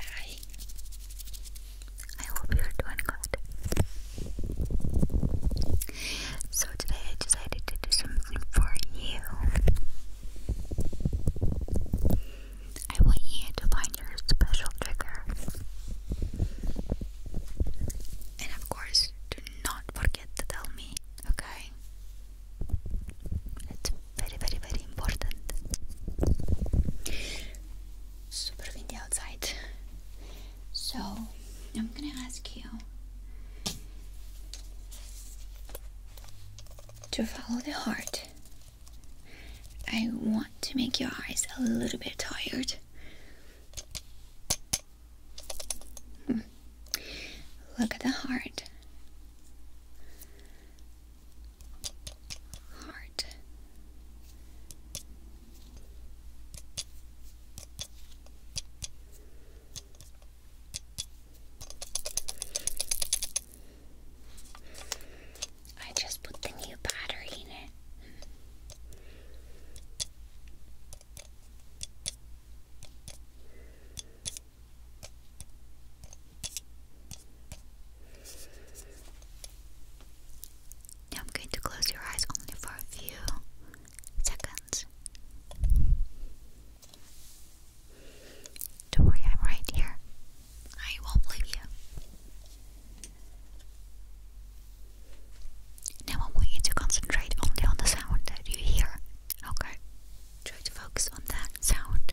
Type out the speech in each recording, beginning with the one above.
Hi. I hope you're doing good. So today I decided to do something for you. I want you to find your special trigger. And of course, do not forget to tell me, okay? very, very, very important. Super windy outside. So, I'm gonna ask you to follow the heart. I want to make your eyes a little bit tired. Hmm. Look at the heart. Heart. I just put the new battery in it. Now I'm going to close your eyes only for a few seconds. Don't worry, I'm right here. I won't leave you. Now I want you to concentrate only on the sound that you hear. Okay? Try to focus on that sound.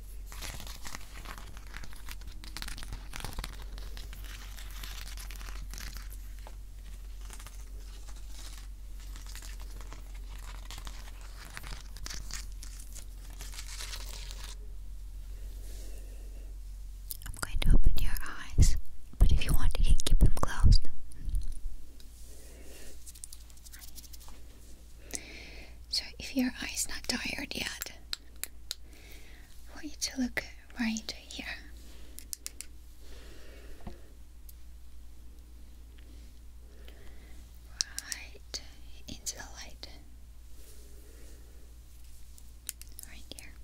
I'm going to open your eyes, but if you want, you can keep them closed. So if your eyes is not tired yet, I want you to look right here. Right into the light. Right here.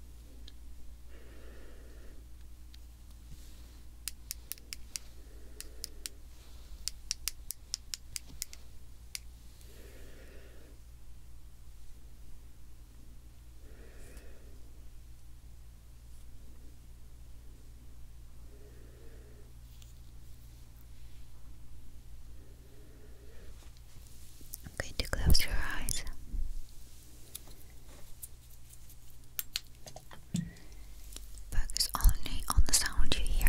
I'm going to close your eyes. Focus only on the sound you hear.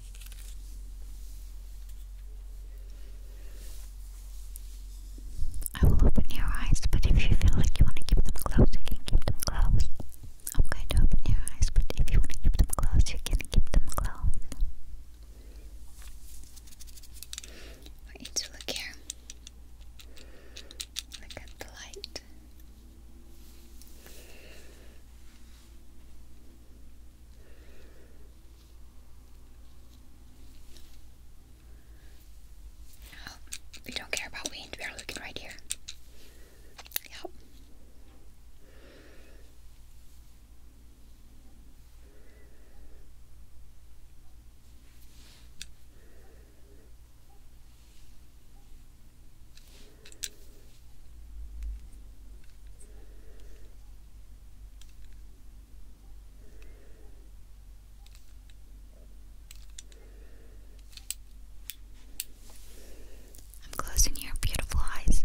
I will open your eyes, but if you feel like you want to keep them closed, you can keep them closed. I'm going to open your eyes, but if you want to keep them closed, you can keep them closed. Wait to look here. Look at the light we don't care about wind. We are looking right here. Yep. I'm closing your beautiful eyes.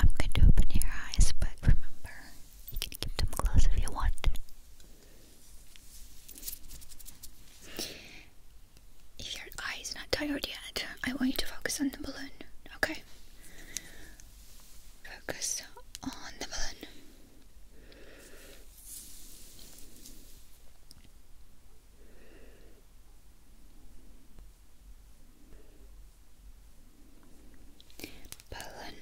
I'm going to open your eyes, but remember, you can keep them closed if you want. If your eye not tired yet, I want you to focus on the balloon, okay? Focus on the balloon. Balloon Balloon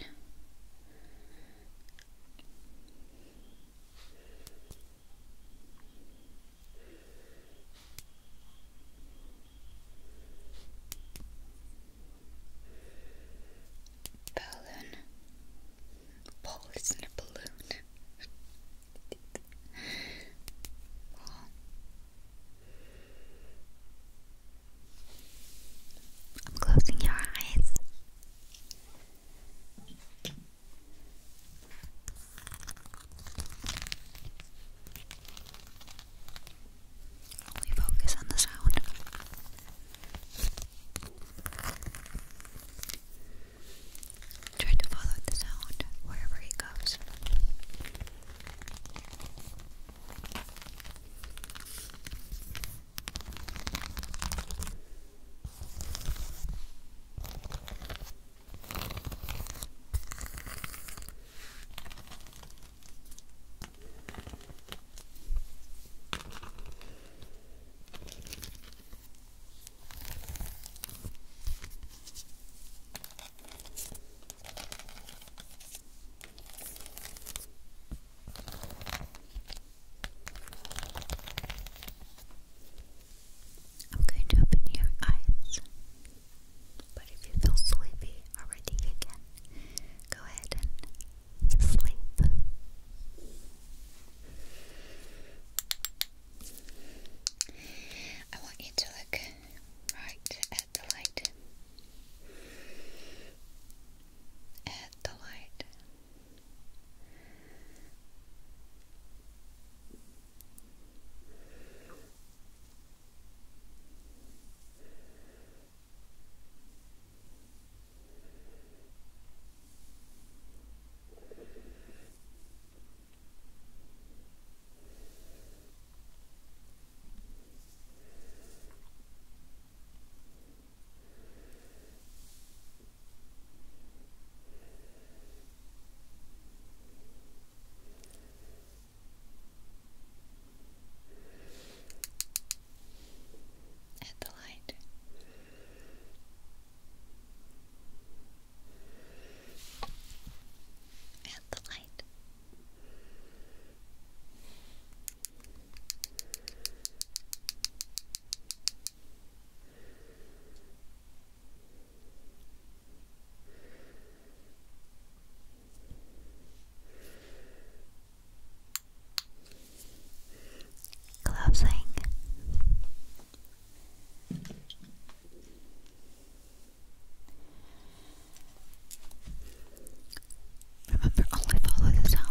Ball is in a balloon I'm closing your eyes. We focus on the sound. Try to follow the sound wherever he goes. I'm going to open your eyes, but if you feel sleepy already again, go ahead and sleep. I want you to look right at the light. At the light. At the light. And the light. Closing. Remember, only follow the sound.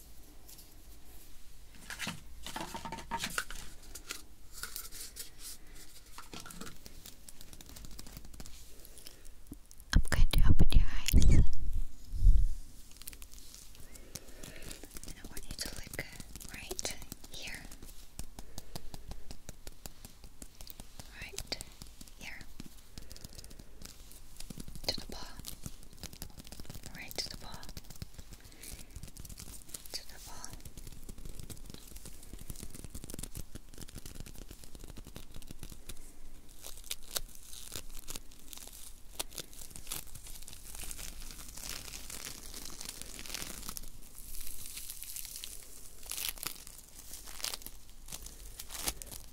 I'm going to open your eyes I want you to look right here. Right here to the paw, right to the paw, to the paw.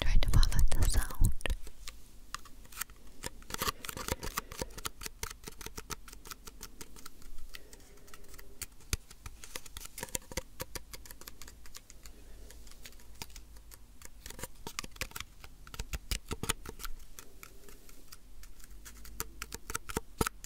Try to follow the sound.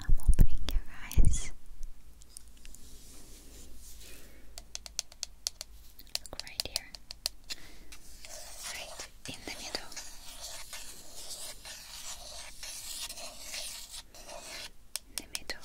I'm opening your eyes. right here. Right in the middle. the middle.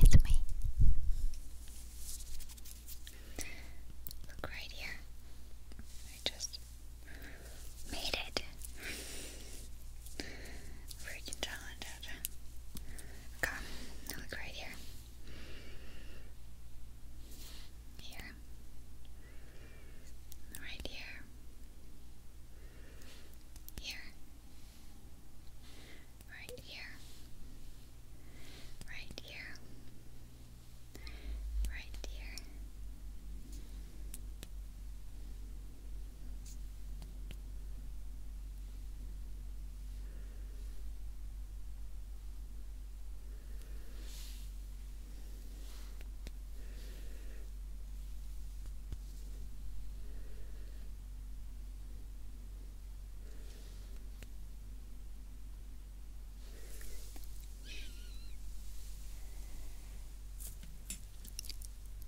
It's me. Look right here. I just made it. Freaking talented. Come, look right here. Here here, right here, here, right here, right here, right here.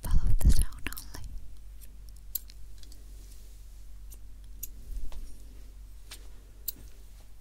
Follow the sound only.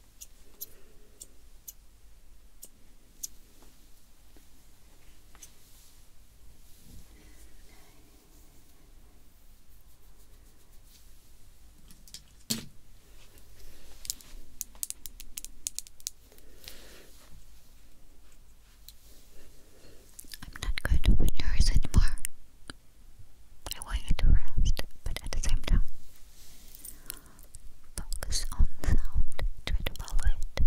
I'm not going to open yours anymore. I want you to rest, but at the same time, Focus on sound, to follow it.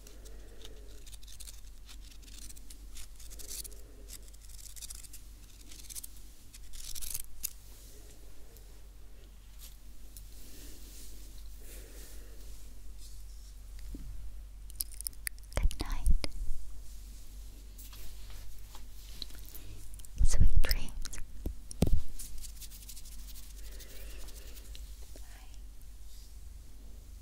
Good night. Sweet dreams. Bye.